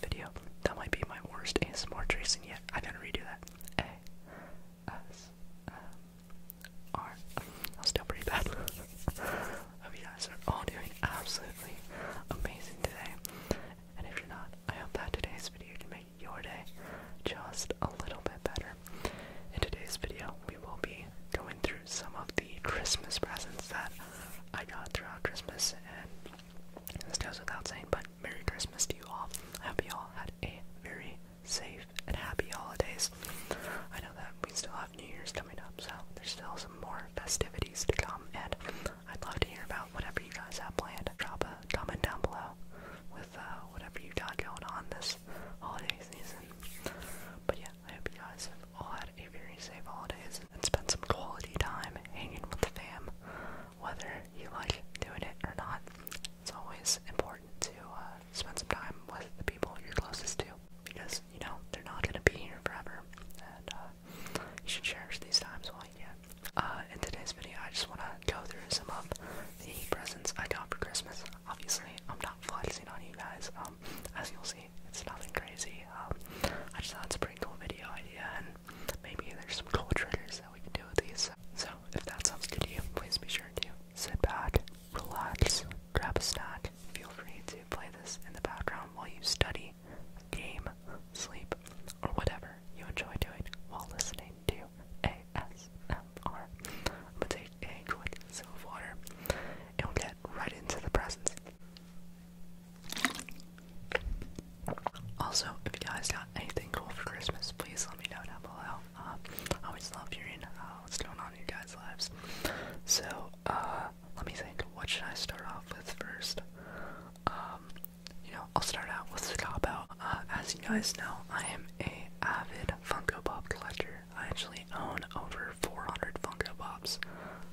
video. That might be my worst ASMR tracing yet. I gotta redo that. A S M R. I'll still pretty bad. hope you guys are all doing absolutely amazing today. And if you're not, I hope that today's video can make your day just a little bit better. In today's video, we will be going through some of the Christmas presents that I got throughout Christmas, and this goes without saying, but Merry Christmas to you all. I hope you all had a very safe and happy holidays. I know that we still have New Year's coming up, so there's still some more festivities to come, and I'd love to hear about whatever you guys have planned. Drop a comment down below with uh, whatever you got going on this holiday season. But yeah, I hope you guys all had a very safe holidays and spent some quality time hanging with the fam whether you like doing it or not. It's always important to uh, spend some time with the people you're closest to because, you know, they're not going to be here forever. And uh, you should cherish these times while you can. Uh, in today's video, I just want to go through some of the presents I got for Christmas. Obviously, I'm not flexing on you guys. Um, as you'll see, it's nothing crazy. Um, I just thought it's a pretty cool video idea, and maybe there's some cool triggers we can do with these. So if that sounds good to you, please be sure to sit back, relax, grab a snack. Feel free to play this in the background while you study, game, sleep, or whatever you enjoy doing while listening to ASMR. I'm gonna take a quick of water and we'll get right into the presents. Also, if you guys got anything cool for Christmas, please let me know down below. Um, I always love hearing uh, what's going on in your guys' lives. So, uh, let me think. What should I start off with first? Um, you know, I'll start out with the cop out. as you guys know, I am a avid Funko Pop collector. I actually own over 400 Funko Pops.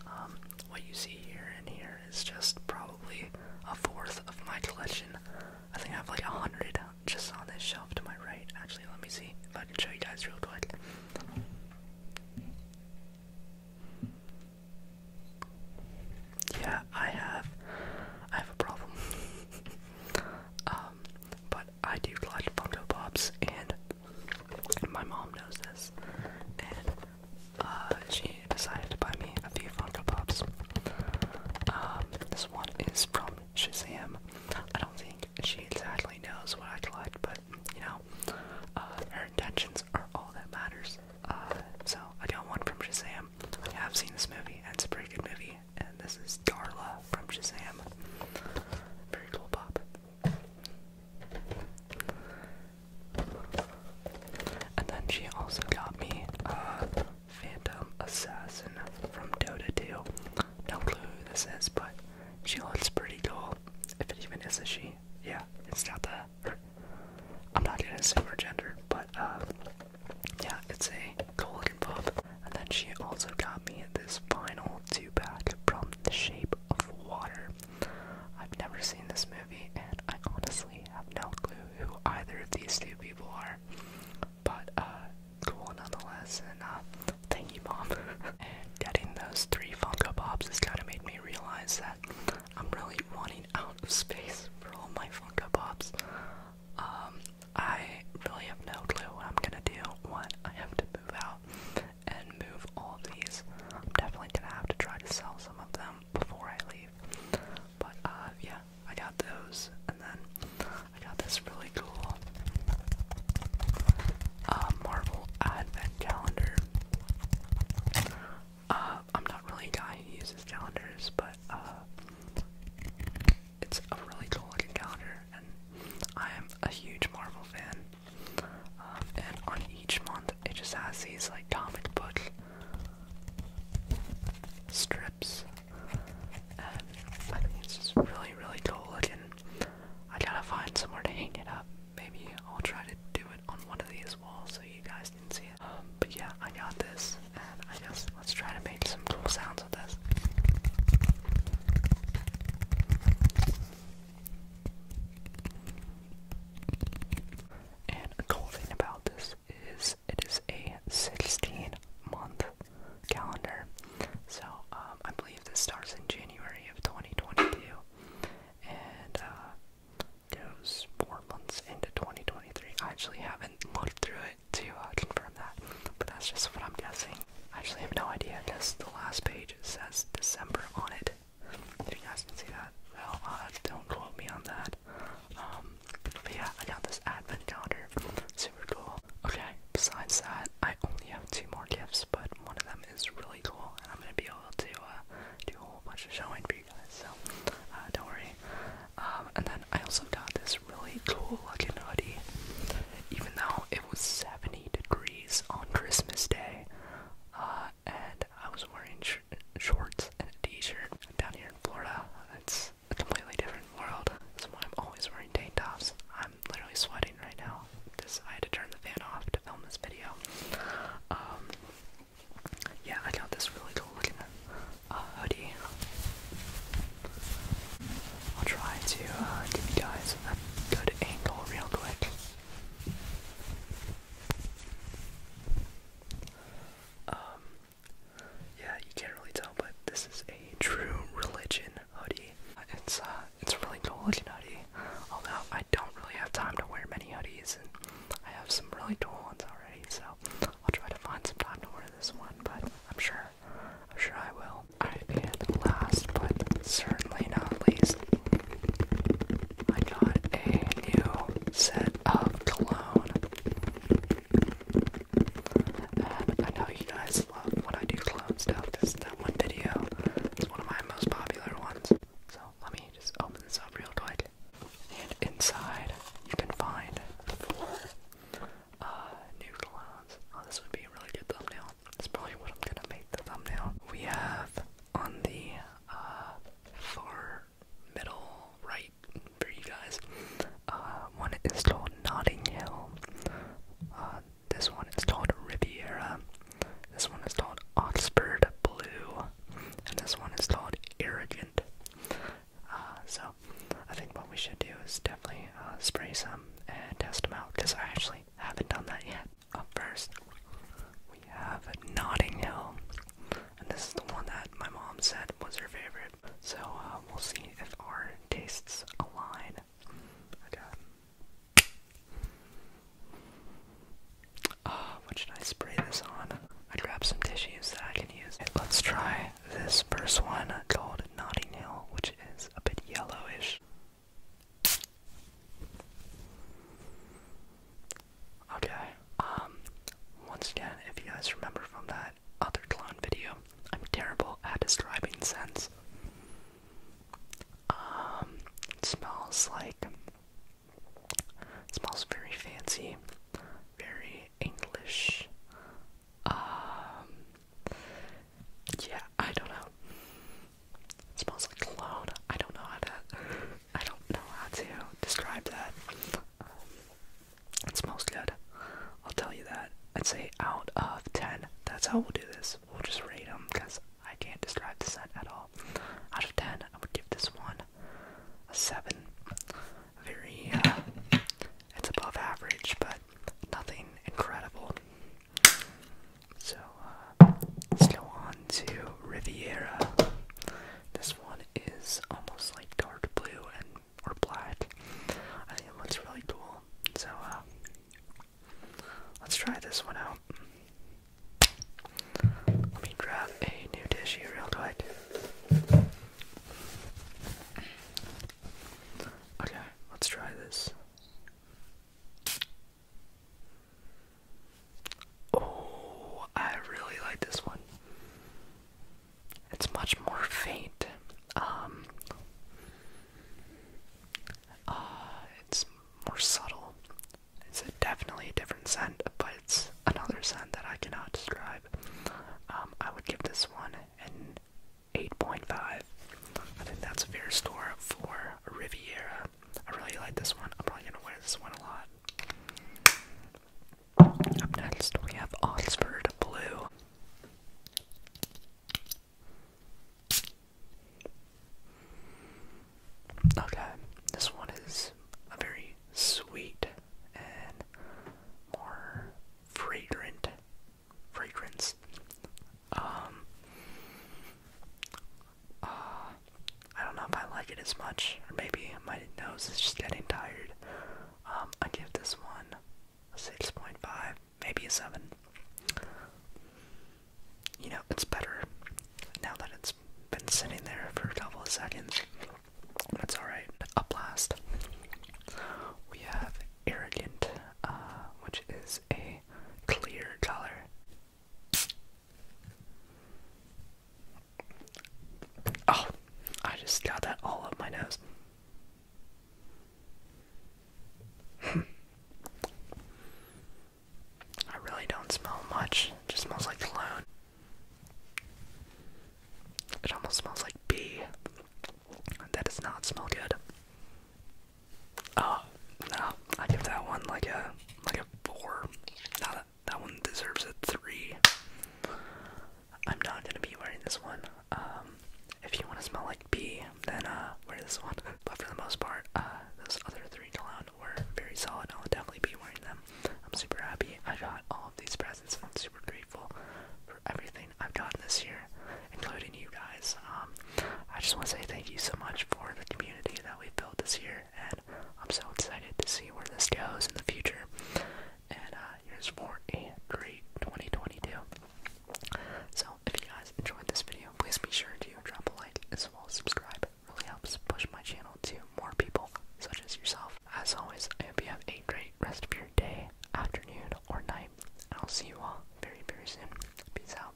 Um, what you see here and here it's just probably a fourth of my collection. I think I have like a hundred just on this shelf to my right. Actually, let me see if I can show you guys real quick. Yeah, I have, I have a problem. um, but I do collect Funko Pops, and my mom knows this, uh, she decided to buy me a few Funko Pops. Um, this one is from Shazam. I don't think she exactly knows what I collect, but you know, uh, her intentions are all that matters. Uh, so I got one from Shazam. I have seen this movie, and it's a pretty good movie. And this is Darla from Shazam. Very cool pop. And then she also got me a Phantom Assassin from Dota 2. No clue who this is, but she looks pretty cool. If it even is a she. Yeah, it's not the. I'm not gonna assume her gender, but uh, yeah, it's a golden buff. And then she also got me this final two pack from The Shape of Water. I've never seen this movie, and I honestly have no clue who either of these two people are. But uh, cool nonetheless, and uh, thank you, mom. and getting those three Funko Pops has kind of made me realize that I'm really running out of space for all my Funko Pops. Um, I really have no clue what I'm gonna do when I have to move out and move all these. I'm definitely gonna have to try to sell some of them. Um, before I leave. But uh, yeah, I got those, and then I got this really cool uh, Marvel Advent calendar. Uh, I'm not really a guy who uses calendars, but it's a really cool looking calendar, and I am a huge Marvel fan. Um, and on each month, it just has these like comic book strips, and I think it's just really, really cool looking. I gotta find somewhere to hang it up. Maybe I'll try to do it on one of these walls so you guys can see it. Um, but yeah, I got this, and I guess let's try to make some cool sounds with this. And a cool thing about this is it is a 16 month calendar. So um, I believe this starts in January of 2022 and uh, goes four months into 2023. I actually haven't looked through it to uh, confirm that, but that's just what I'm guessing. I actually have no idea because the last page says December on it. If you guys see that, well, uh, don't quote me on that. Um, but yeah, I got this advent calendar. Super cool. Okay, besides that, I only have two more gifts, but one of them is really cool, and I'm gonna be able to uh, do a whole bunch of showing for you guys, so uh, don't worry. Um, and then I also got this really cool looking hoodie. Even though it was 70 degrees on Christmas Day, and I was wearing shorts and a t-shirt. Down here in Florida, it's a completely different world. That's why I'm always wearing tank tops. I'm literally sweating right now because I had to turn the fan off to film this video. Um, yeah, I got this really cool looking uh, hoodie. I'll try to uh, give you guys a good angle real quick. Um, yeah, you can't really tell, but this is a true religion hoodie. It's uh, it's a really cool looking hoodie. Although I don't really have time to wear many hoodies, and I have some really cool ones already, so I'll try to find some time to wear this one. But I'm sure, I'm sure I will. Alright, be last but certainly not least, I got a new set of clones, And I know you guys love when I do cologne stuff. This that one video. It's one of my most popular ones. So let me just open this up real quick. And inside you can find four uh, new colognes. Oh, this would be a really good thumbnail. This is probably what I'm gonna make the thumbnail. We have on the uh, far middle right for you guys. Uh, one is called Notting Hill. Uh, this one is called Riviera. This one is called Oxford Blue. And this one is called Arrogant. Uh, so, I think what we should do is definitely uh, spray some and test them out because I actually haven't done that yet. Up first, we have Notting Hill, and this is the one that my mom said was her favorite. So uh, we'll see if our tastes align. Okay. Uh, what should I spray this on? I grabbed some tissues that I can use. let's try this first one called Notting Hill, which is a bit yellowish. Okay, um, once again, if you guys remember from that other clone video, I'm terrible at describing scents. Um, smells like, smells very fancy, very English. Um, yeah, I don't know. smells like cologne. I don't know how to I don't know how to describe that. Um, it smells good. I'll tell you that. I'd say out of 10. That's how we'll do this. We'll just rate them because I can't describe the scent at all. Out of 10, I would give this one a 7. Very, uh, it's above average, but nothing incredible. So, let's go on to Riviera. This one is almost like dark blue and or black. I think it looks really cool. So uh, let's try this one out. Let me grab a new dish real quick. Okay, let's try this. Oh, I really like this one. It's much more faint. Um, uh, it's more subtle. It's definitely a different scent, but it's another scent that I cannot describe. Um, I would give this one an 8.5. I think that's a fair score for Riviera. I really like this one. I'm probably gonna wear this one a lot. Up next, we have Oxford Blue. Okay, this one is a very sweet and more fragrant fragrance. Um, uh, I don't know if I like it as much, or maybe my nose is just getting tired. Um, I give this one a 6.5, maybe a 7. You know, it's better now that it's been sitting there for a couple of seconds. That's alright. Up last, we have Arrogant, uh, which is a clear color. Oh, I just got that all up my nose. Hmm. I really don't smell much. just smells like cologne. It almost smells like pee. That does not smell good. Oh, no, I give that one like a like a four. that that one deserves a three. I'm not gonna be wearing this one. Um, if you want to smell like pee, then uh, wear this one. But for the most part, uh, those other three clown were very solid. I'll definitely be wearing them. I'm super happy. I got all of these presents. I'm super grateful for everything I've gotten this year, including you guys. Um, I just want to say thank you so much for the community that we've built this year and I'm so excited to see where this goes in the future. And uh, here's for a great 2022. So if you guys enjoyed this video, please be sure to drop a like as well as subscribe. It really helps push my channel to more people such as yourself. As always, I hope you have a great rest of your day, afternoon, or night. And I'll see you all very, very soon. Peace out.